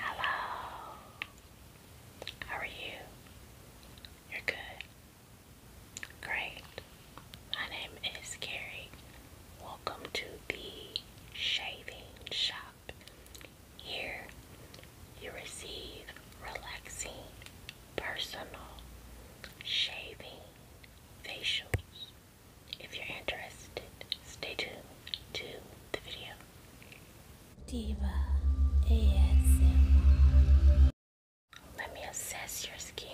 Hello. How are you? You're good. Great. My name is Carrie. Welcome to the shaving shop. Here you receive relaxing, personal shaving facials. If you're interested, stay tuned to the video. Diva ASMR. Let me assess your skin.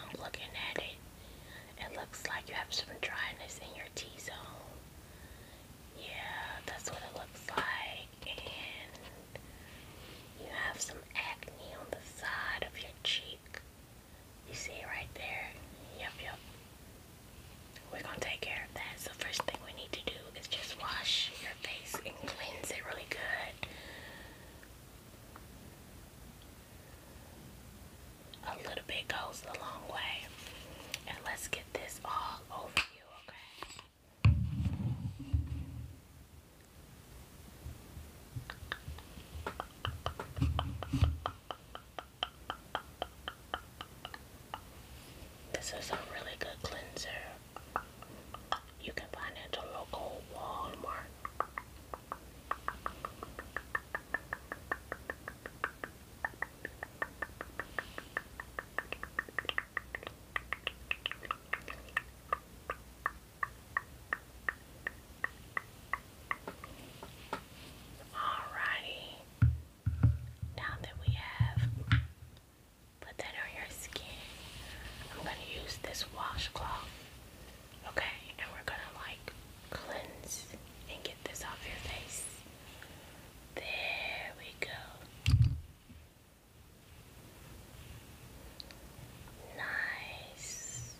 I'm looking at it. It looks like you have some dryness in your T zone. Yeah, that's what it looks like. And you have some acne on the side of your cheek. You see it right there? Yep, yep we're gonna take care of that. So first thing we need to do is just wash your face and cleanse it really good. A little bit goes a long way. And let's get this all over you, okay? This is a really good cleanser. You can find it at local Walmart. Alrighty. Now that we have put that on your skin, I'm gonna use this washcloth. Okay, and we're gonna like cleanse and get this off your face. There we go. Nice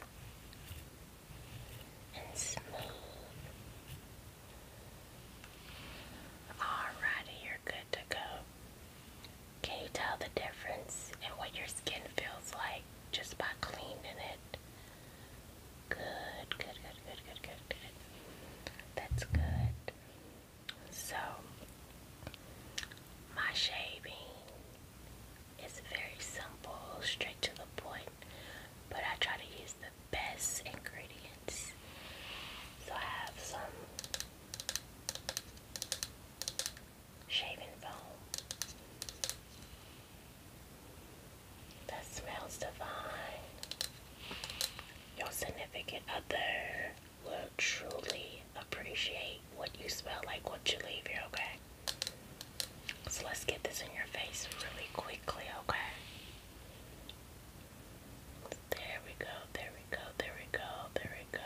and smooth. Alrighty, you're good to go. Can you tell the difference in what your skin feels like just by cleaning it? Good, good, good, good, good, good, good. That's good. So, my shaving is very simple, straight to the point, but I try to use best ingredients. So I have some shaving foam that smells divine. Your significant other will truly appreciate what you smell like what you leave here, okay? So let's get this in your face really quickly, okay? There we go, there we go, there we go, there we go.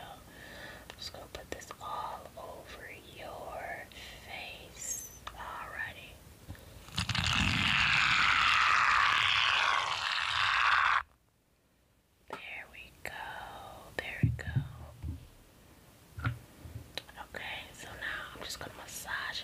just gonna put this all over your face. Alrighty. There we go, there we go. Okay, so now I'm just gonna massage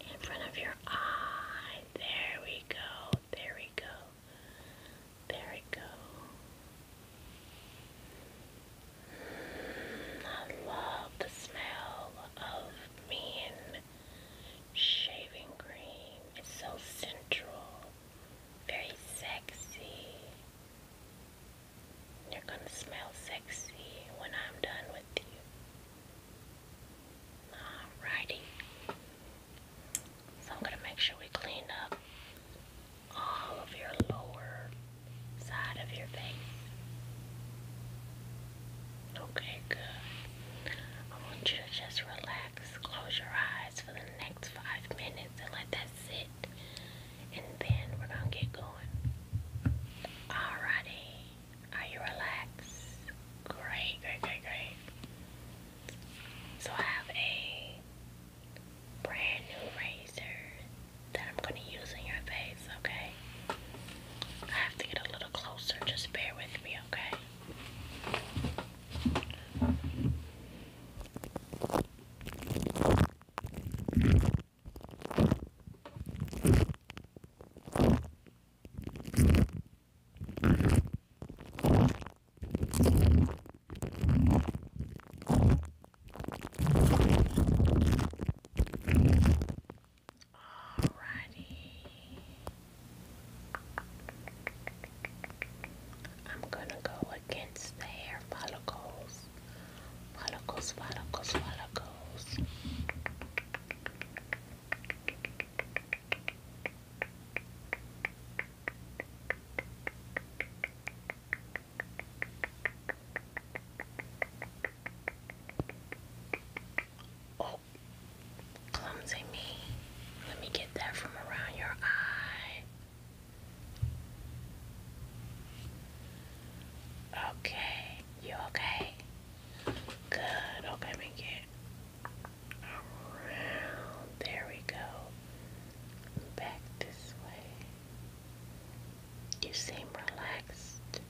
in front of your eye. There we go. There we go. There we go. I love the smell of mean shaving cream. It's so central, very sexy. You're gonna smell sexy when I'm done Alrighty. So I'm going to make sure we clean up all of your lower side of your face. Okay, good. I want you to just relax, close your eyes for the next five minutes and let that sit. And then we're going to get going. Alrighty. Are you relaxed? Great, great, great, great. So I have a brand new razor that I'm going to use in your face, okay? I have to get a little closer, just bear with me, okay? Alrighty. I'm going to go against the hair follicles. Follicles, follicles, follicles. Oh, clumsy me. Let me get that from around your eye. Okay, you okay? Good. Okay, we get around. There we go. Back this way. You seem relaxed.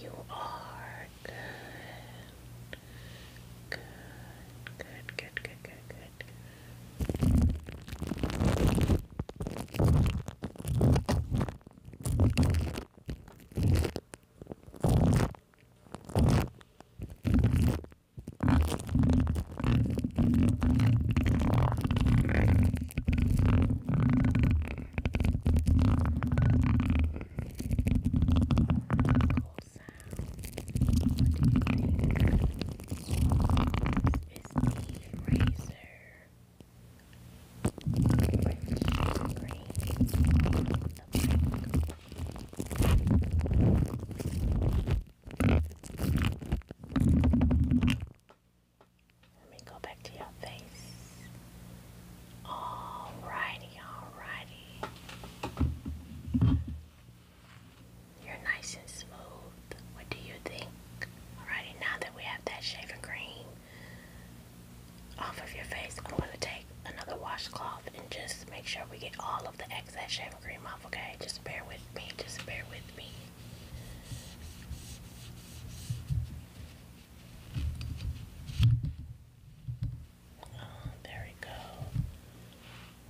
You are good. Good. Good. Good. Good. Good. Good. What do you think is the razor? Let me go back to your face. Alrighty, alrighty. You're nice and smooth. What do you think? Alrighty, now that we have that shaving cream, off of your face. I'm going to take another washcloth and just make sure we get all of the excess shaving cream off, okay? Just bear with me. Just bear with me. Oh, there we go.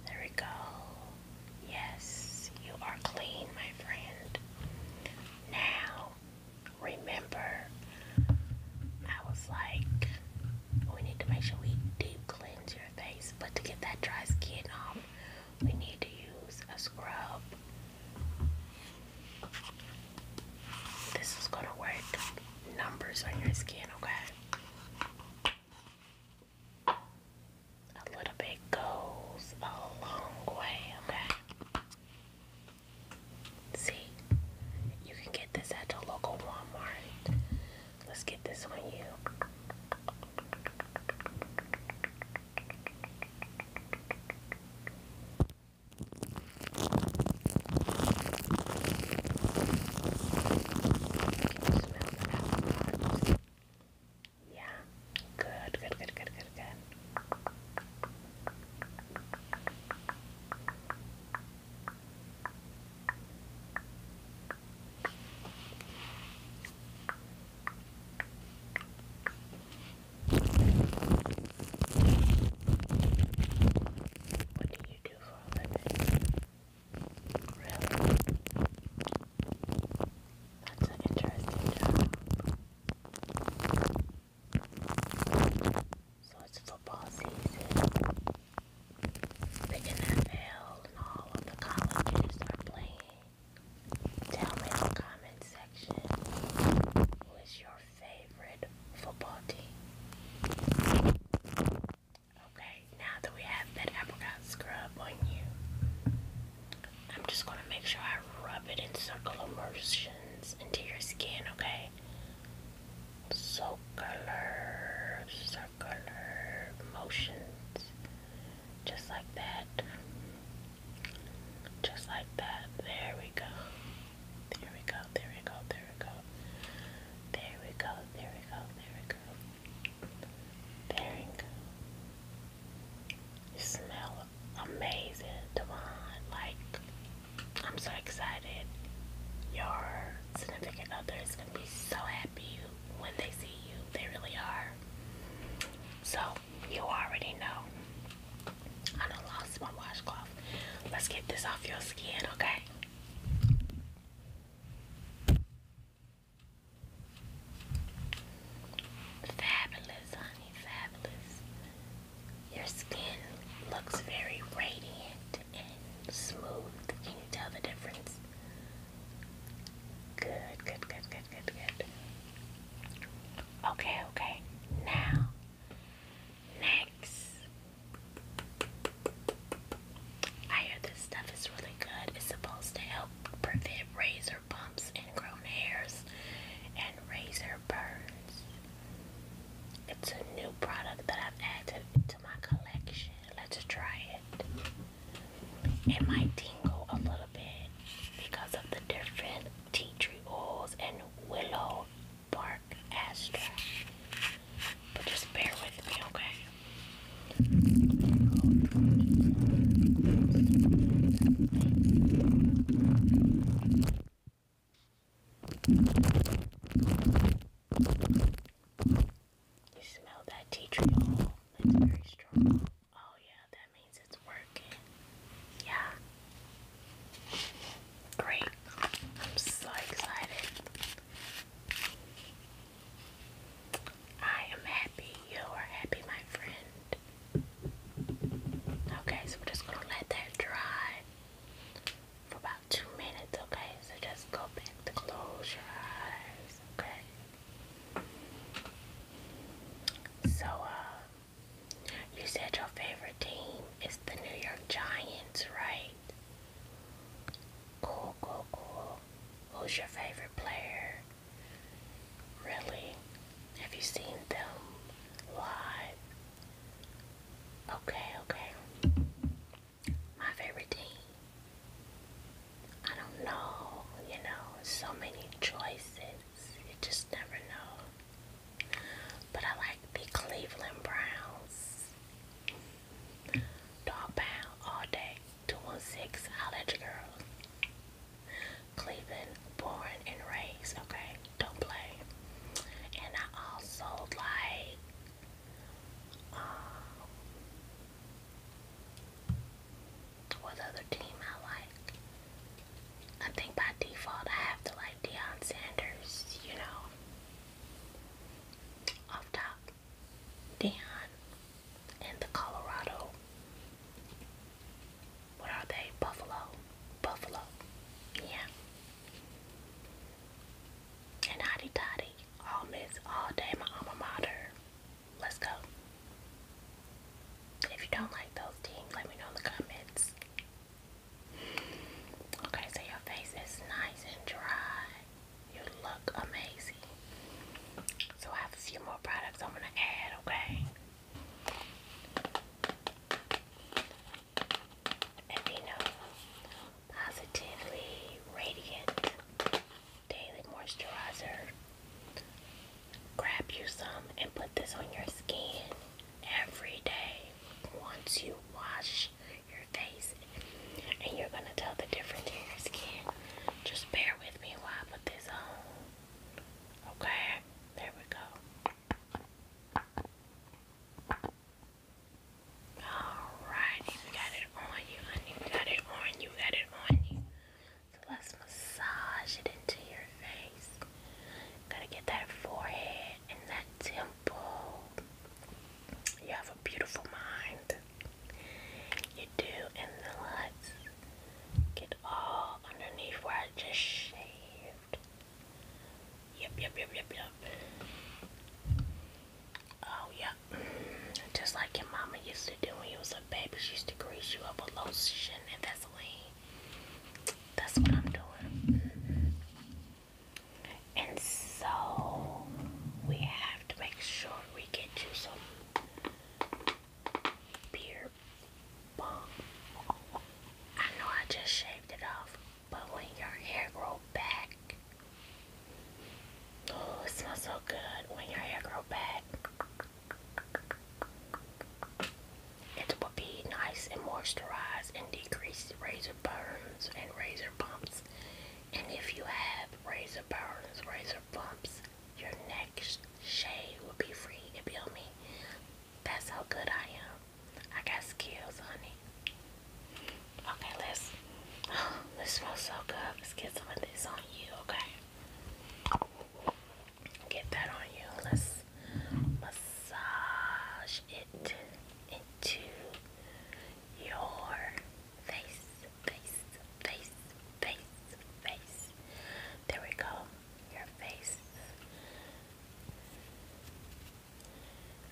There we go. Yes, you are clean, my friend. Now, remember, I was like, oh, we need to make sure we deep cleanse your face. But to get that dry skin off, we need to use a scrub. This is going to work numbers on your skin, okay? A little bit goes a long way, okay? See, you can get this at the local Walmart. Let's get this on you. Yeah, good, good, good, good, good, good. What do you do for a living? Really? That's an interesting job. So it's football season. Big NFL and all of the colleges are playing. Tell me in the comment section who is your favorite football team. Okay, now that we have that apricot scrub on you, I'm just gonna make sure I rub it in circular motions into your skin, okay? circular, circular motions, just like that, just like that, there we go, there we go, there we go, there we go, there we go, there we go, there we go, smell amazing, Devon, like, I'm so excited. Your significant other is going to be so happy when they see you. They really are. So, you already know. I lost my washcloth. Let's get this off your skin, okay? Fabulous, honey, fabulous. Your skin looks very radiant and smooth. Can you tell the difference? Good, good, good, good, good, good. Okay, okay. Now, next. I hear this stuff is really good. It's supposed to help prevent razor bumps and grown hairs and razor birds. It's a new product that I've added to my collection. Let's try it. It might tingle a little bit because of the different tea tree oils and willow bark astra. But just bear with me, okay? You smell that tea tree oil? It's very strong. Oh yeah, that means it's working. Yeah. Great. I'm so excited. I am happy. You are happy, my friend. Okay, so we're just gonna let that dry for about two minutes, okay? So just go back to close your eyes, okay? So, uh, you said your favorite team is the New York Giants, right? Cool, cool, cool. Who's your favorite player? Really? Have you seen them live? Okay, okay. My favorite team. I don't know, you know, so many choices. You just never know. But I like the Cleveland Browns. Dog pound all day. 216 I'll let you girl. Cleveland, born and raised, okay? Don't play. And I also like um, what other team I like. I think by default I have to like Deion Sanders, you know. Off top. Deion and the Colorado. What are they? Buffalo. Buffalo. Yeah. And hotty toddy, all miss all day my alma mater. Let's go. If you don't like those teams, let me know in the comments. Okay, so your face is nice and dry. You look amazing. So I have a few more products I'm gonna add, okay? and you know, positively radiant daily moisturizer. Grab you some and put this on your skin every day once you wash your face, and you're gonna tell the difference in your skin. Just bear with me while I put this on. Okay, there we go. Alright, you got it on you, honey. You got it on you, got it on you. So let's massage it into your face. Gotta get that forehead and that temple. You have a beautiful mind. You do, and then let's get all underneath where I just shaved. Yep, yep, yep, yep, yep. Oh, yep. Just like your mama used to do when you was a baby, she used to grease you up with lotion and Vaseline. That's what I'm doing. And so, we have to make sure we get you some beer bomb. I know I just shaved it off. But when your hair grow back, oh, it smells so good when your hair grow back. It will be nice and moisturized and decrease razor burns and razor bumps. And if you have razor burns, razor bumps, your next shave will be free. It be on me. That's how good I am. I got skills, honey. Okay, let's. this smells so good. Let's get some of this on you, okay? Get that on you. Let's massage it into your face, face, face, face, face. There we go. Your face.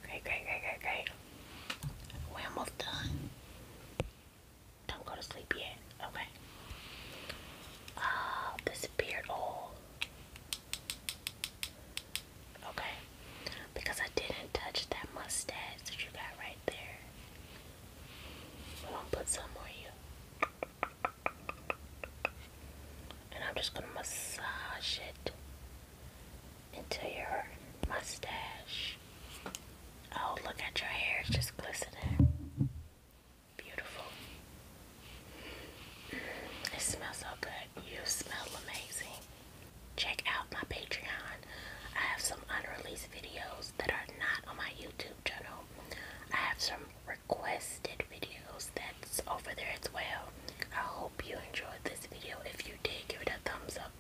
Great, great, great, great, great. We're almost done. Don't go to sleep yet. Okay. Ah, this beard oil. Okay. Because I didn't touch that mustache that you got right there. I'm put some on you. And I'm just going to massage it into your mustache. Oh, look at your hair, it's just glistening. Beautiful. It smells so good. You smell amazing. Check out my Patreon. I have some unreleased videos that are not on my YouTube channel. I have some requested videos that's over there as well. I hope you enjoyed this video. If you did, give it a thumbs up.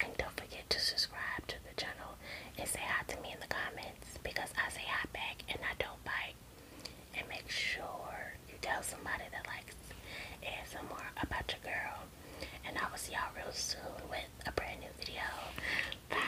and don't forget to subscribe to the channel and say hi to me in the comments because I say hi back and I don't bite. And make sure you tell somebody that likes and some more about your girl. And I will see y'all real soon with a brand new video. Bye.